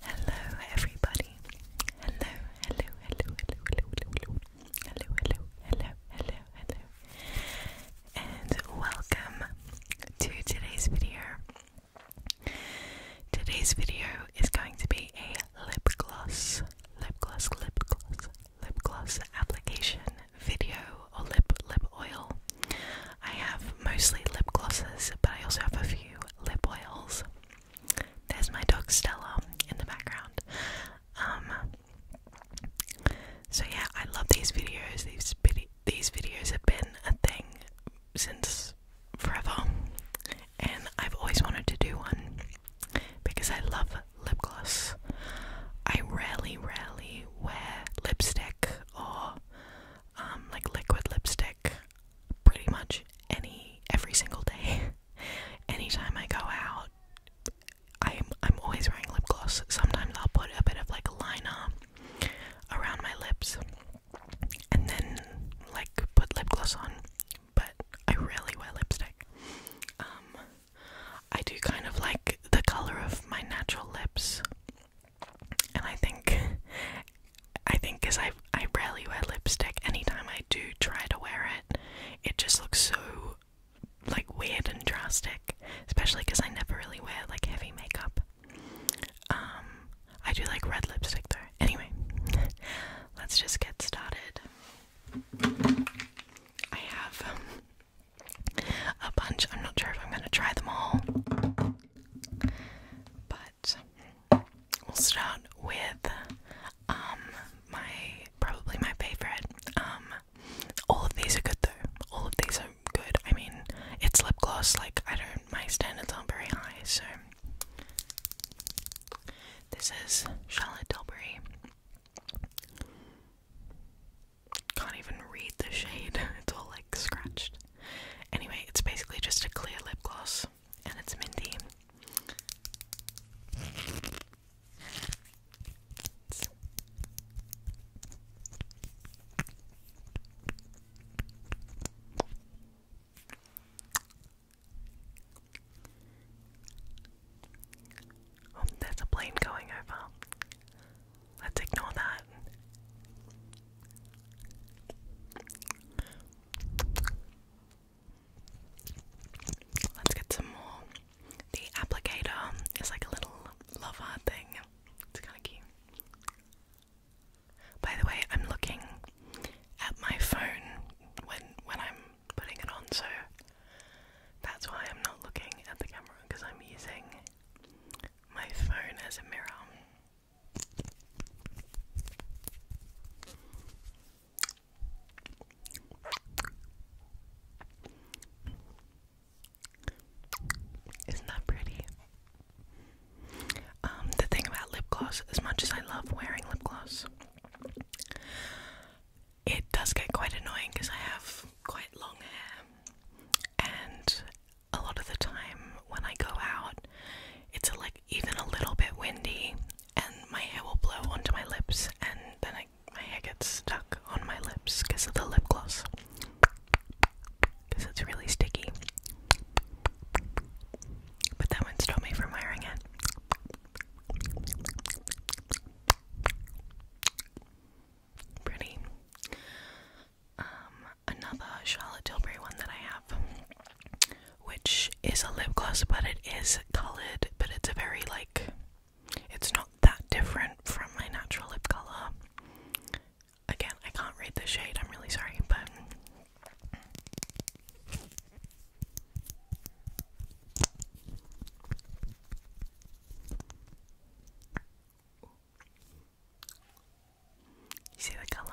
Hello, everybody. Hello, hello, hello, hello, hello, hello, hello, hello, hello, hello, and welcome to today's video. Today's video is going to be a lip gloss, lip gloss, lip gloss, lip gloss application video or lip lip oil I have mostly lip glosses, but I also have a few lip oils. There's my dog Stella in the background. Um, so yeah, I love these videos. these videos have been a thing since forever, and I've always wanted to do one because I love lip gloss. I rarely, rarely wear lipstick or um, like liquid lipstick pretty much any every single day. Anytime I go out, I'm I'm always wearing lip gloss. Sometimes I'll put a bit of like liner around my lips and then like put lip gloss on. But I really wear lipstick. Um, I do kind of like the color of my natural lips and I think I think because I I rarely wear lipstick, anytime I do try to wear it, it just looks so like weird and drastic, especially because I never really wear like heavy makeup. Um, I do like red lipstick though. Anyway, let's just get started. I have um, a bunch. I'm not sure if I'm going to try them all, but we'll start with um, my probably my favorite. Um, all of these are good though. All of these are good. I mean, it's lip gloss. Like I don't. My standards aren't very high, so. This is Charlotte Tilbury can't even read the shade, it's all like scratched. Anyway, it's basically just a clear lip gloss and it's minty. Oh, there's a plane going over. Let's ignore that. Let's get some more. The applicator is like a little lover thing. It's kind of cute. By the way, I'm looking at my phone when when I'm putting it on, so that's why I'm not looking at the camera because I'm using my phone as a mirror. Isn't that pretty? Um, the thing about lip gloss, as much as I love wearing lip gloss, it does get quite annoying because I have quite long hair and a lot of the time when I go out, it's like even a little bit windy, and my hair will blow onto my lips, and then I, my hair gets stuck on my lips because of the lip gloss. Because it's really sticky. But that one not me from wearing it. Pretty um, another Charlotte Tilbury one that I have, which is a lip gloss, but it is colored, but it's a very like, it's not that different from my natural lip color. Again, I can't read the shade, I'm really sorry, but. You see the color?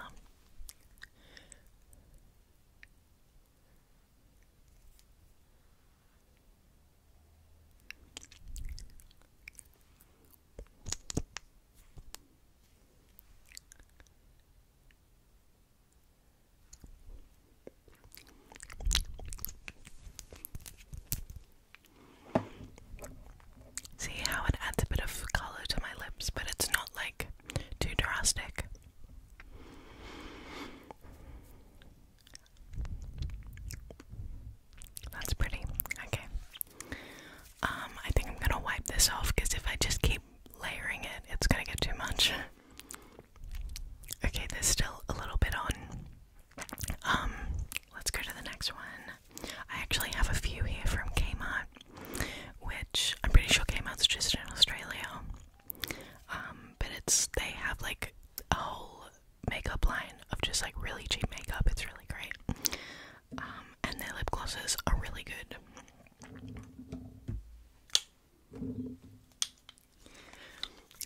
See how it adds a bit of color to my lips, but it's not like too drastic. That's pretty. Okay. Um, I think I'm gonna wipe this off because if I just keep layering it, it's gonna get too much. Okay, there's still a little bit on. Um, let's go to the next one. I actually have a few here from Kmart, which I'm pretty sure Kmart's just in Australia. Um, but it's they have like a whole makeup line of just like really cheap makeup. It's really great. Um, and their lip glosses are really good.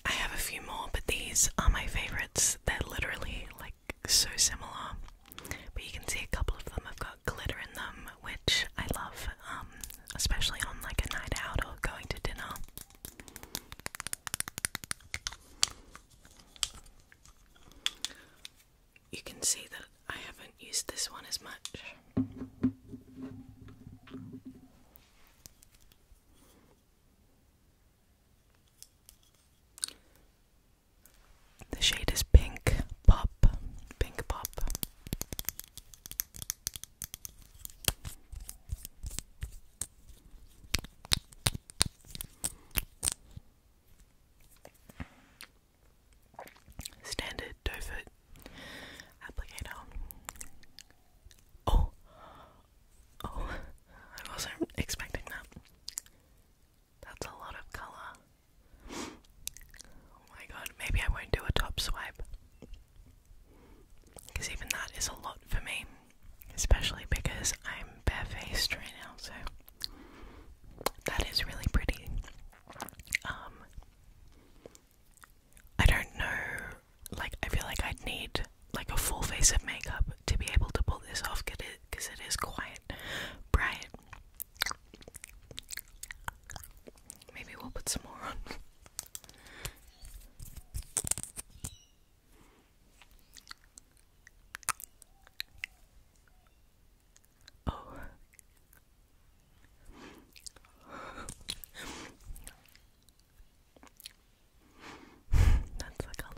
I have a few more, but these are my favorites. They're literally like so similar, but you can see a couple of them have got glitter in them, which I love, um, especially on like a night out or going to dinner. You can see that I haven't used this one as much. The shade is pink pop, pink pop. Standard doe foot applicator. Oh, Oh, I wasn't expecting that. That's a lot of color. Oh my god, maybe I won't do a top swipe. Because even that is a lot for me. Especially because I'm barefaced right now, so that is really pretty. Um I don't know like I feel like I'd need like a full face of makeup to be able to pull this off because it, it is quiet, bright. Maybe we'll put some more on. Oh. That's the color.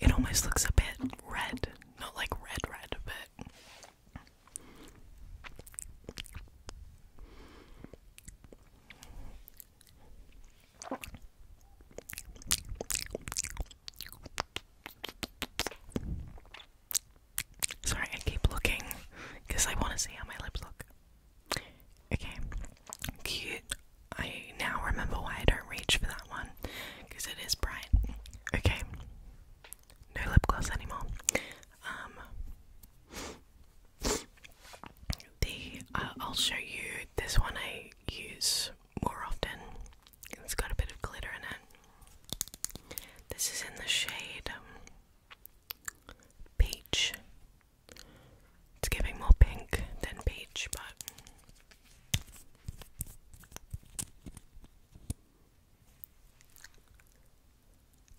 It almost looks a bit red. Not like red, red, but. Sorry, I keep looking because I want to see how my lips look. Okay, cute. I now remember why I don't reach for that one because it is bright. Okay, no lip gloss anymore. Um, the uh, I'll show you this one I use more often. It's got a bit of glitter in it. This is in the shade. Um, peach. It's giving more pink than peach, but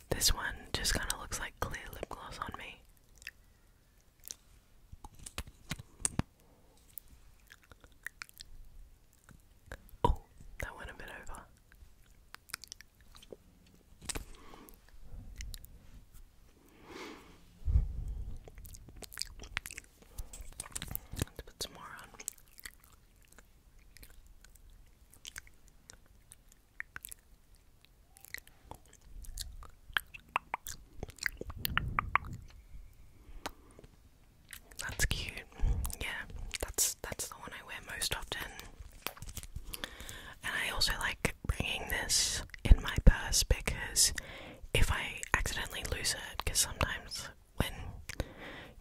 this one just kind of looks like clear lip gloss on me. Oh, that went a bit over let put some more on. That's cute. Yeah, that's that's the one I wear most often. And I also like bringing this in my purse because if I accidentally lose it, because sometimes when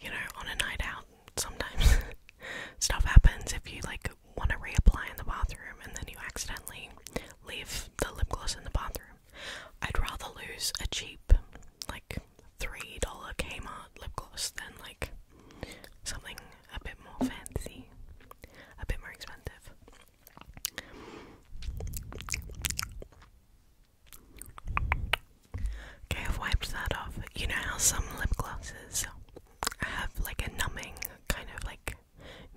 you know on a night out, sometimes stuff happens if you like want to reapply in the bathroom and then you accidentally leave the lip gloss in the bathroom. I'd rather lose a cheap like $3 Kmart lip gloss than like something a bit more fancy, a bit more expensive. Okay, I've wiped that off. You know how some lip glosses have like a numbing, kind of like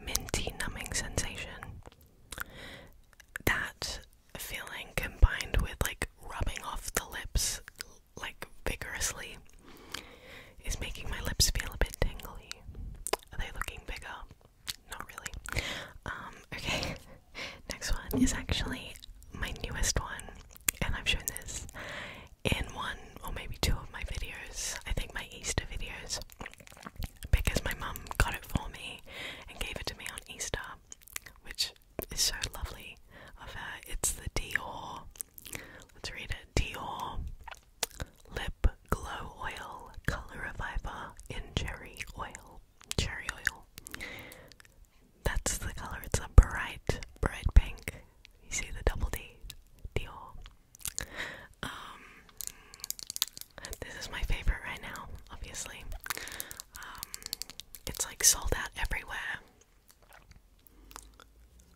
minty numbing sensation? That feeling combined with like rubbing off the lips like vigorously is making my lips feel a bit tingly. Are they looking bigger? Not really. Um, okay, next one is actually my newest one, and I've shown this in one or maybe two of my videos. I think my Easter videos, because my mum got it for me and gave it to me on Easter, which is so lovely of her. It's the Dior Let's read it. Dior Lip Glow Oil Color Reviver in Cherry Oil. Cherry oil. That's the color. It's a bright, bright pink. You see the double D. Dior. Um, this is my favorite right now, obviously. Um, it's like sold out everywhere.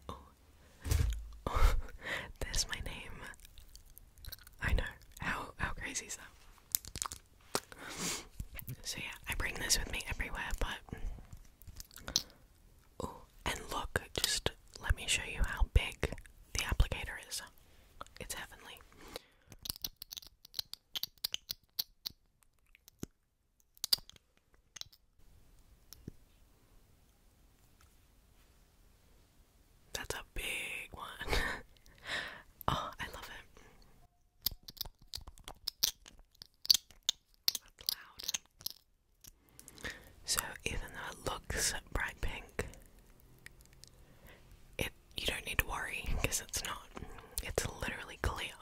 Oh. oh. my name. I know. How how crazy is that? So yeah, I bring this with me everywhere, but Oh, and look, just let me show you how big the applicator is. It's heavenly. That's a big one. oh, I love it. So even though it looks bright pink, it you don't need to worry because it's not. It's literally clear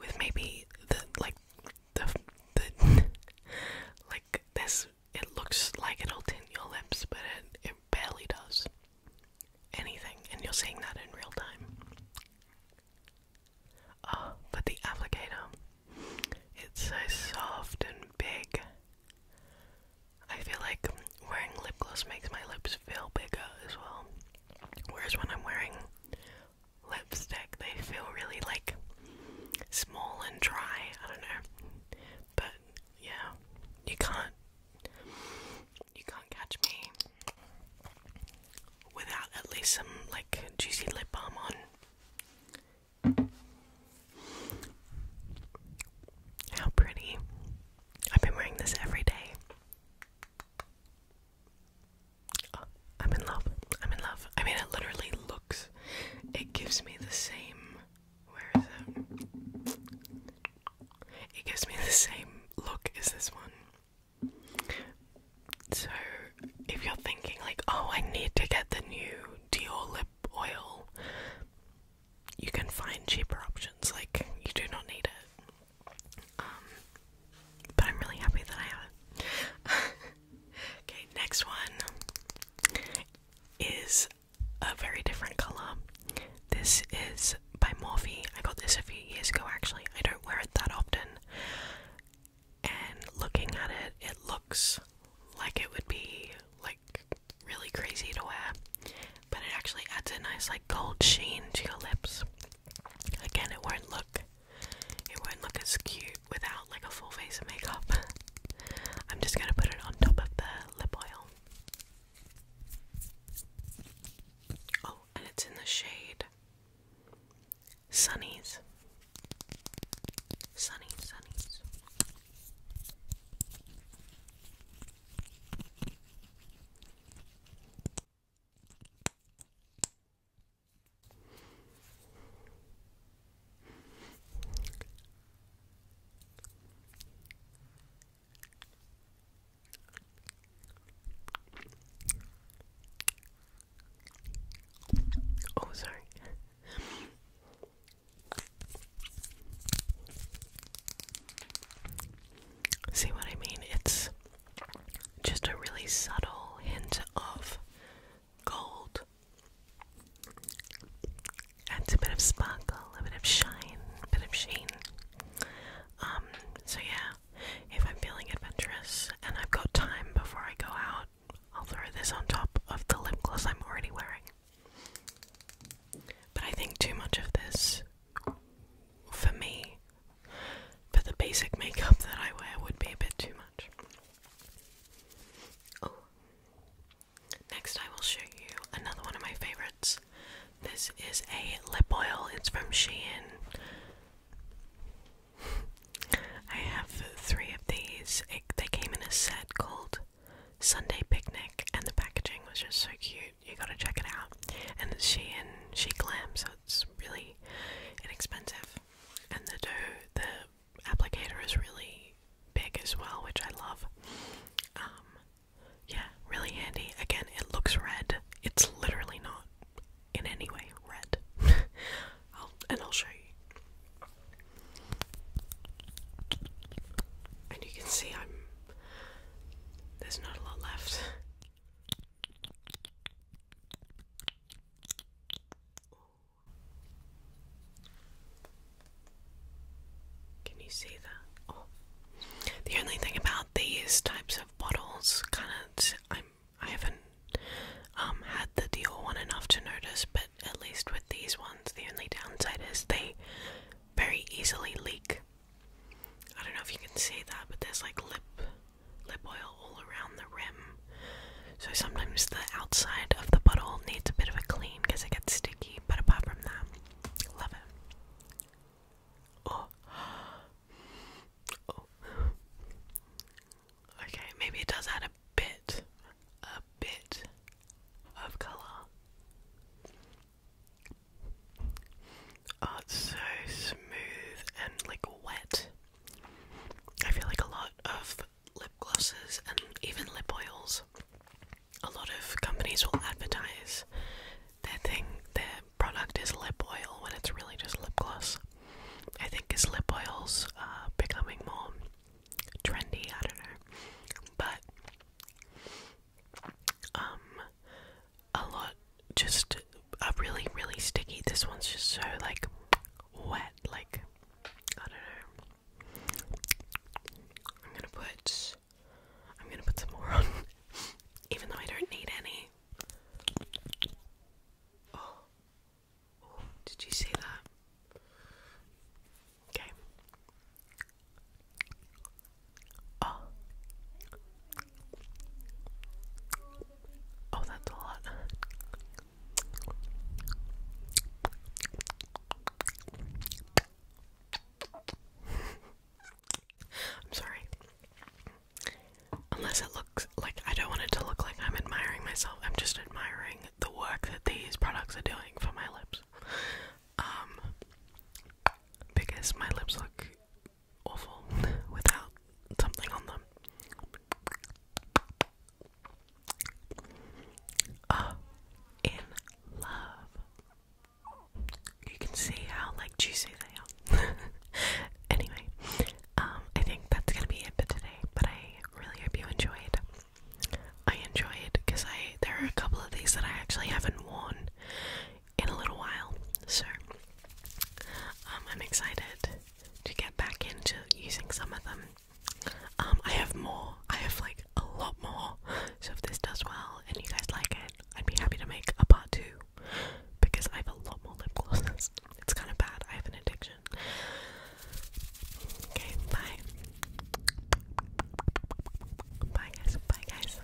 with maybe the like the the like this. It looks like it'll tint your lips, but it it barely does anything, and you're seeing that in real time. Oh, but the applicator, it's so soft and big. I feel like wearing lip gloss makes my lips feel bigger as well. Whereas when I'm wearing lipstick. They feel really like small and dry. I don't know. But yeah, you can't you can't catch me without at least some like juicy lip balm on. How pretty. I've been wearing this every day. I'm in love. I'm in love. I mean, it literally looks. It gives me the same. Where is it? It gives me the same look as this one. So, if you're thinking, like, oh, I need to get the new Dior lip oil, you can find cheaper options. Like, you do not need it. Um, but I'm really happy that I have it. okay, next one is a very different color. This is by Morphe. I got this a few years ago actually. I don't wear it that often. And looking at it, it looks like it would be like really crazy to wear. But it actually adds a nice like gold sheen to your lips. Again, it won't look it won't look as cute without like a full face of makeup. I'm just gonna put it on top of the lip oil. Oh, and it's in the shade Sunnies. Sunny, sunnies. Oh, sorry. See what I mean? It's just a really subtle hint of gold. and a bit of sparkle, a bit of shine, a bit of sheen. Um, so yeah, if I'm feeling adventurous and I've got time before I go out, I'll throw this on top of the lip gloss I'm already wearing. But I think too much of this, for me, but the basic makeup that I wear would be a bit too much. Oh. Next, I will show you another one of my favorites. This is a lip oil, it's from Shein. I have three of these. they came in a set called Sunday Picnic, and the packaging was just so cute. You gotta check it out. And it's Shein, She Glam, so it's really inexpensive. And the dough, the applicator is really big as well, which I love. Um, yeah, really handy. Again, it looks red. It's literally not in any way red. and I'll show you. And you can see I'm. There's not a lot left. Can you see that? Oh. The only thing about these types of bottles, kind of, I'm, I haven't um, had the deal one enough to notice, but at least with these ones, the only downside is they very easily leak. I don't know if you can see that, but there's like lip lip oil all around the rim. So sometimes the outside of the bottle needs a bit of a clean because it gets sticky, but apart from that, love it. Oh. Oh. Okay, maybe it does add a bit, a bit of color. Oh, so smooth and like wet. I feel like a lot of lip glosses and even lip oils. A lot of companies will advertise their thing, their product is lip oil when it's really just lip gloss. I think as lip oils are becoming more trendy, I don't know. But um a lot just a really really sticky. This one's just so like wet, like I don't know. I'm gonna put I'm gonna put some more on even though I don't need any. Oh. oh did you see that? Okay. Oh. Oh, that's a lot. I'm sorry. Unless it looks like I don't want it to look like I'm admiring myself. I'm just admiring the work that these products are doing for my lips. Um because my lips look awful without something on them. Oh, in love. You can see how like juicy they are. anyway, um, I think that's gonna be it for today. But I really hope you enjoyed. I enjoyed because I there are a couple of these that I actually haven't worn in a little while. So um, I'm excited to get back into using some of them. Um, I have more. I have like a lot more. So if this does well and you guys like it, I'd be happy to make a part two because I have a lot more lip glosses. It's kind of bad. I have an addiction. Okay, bye. Bye guys. Bye guys.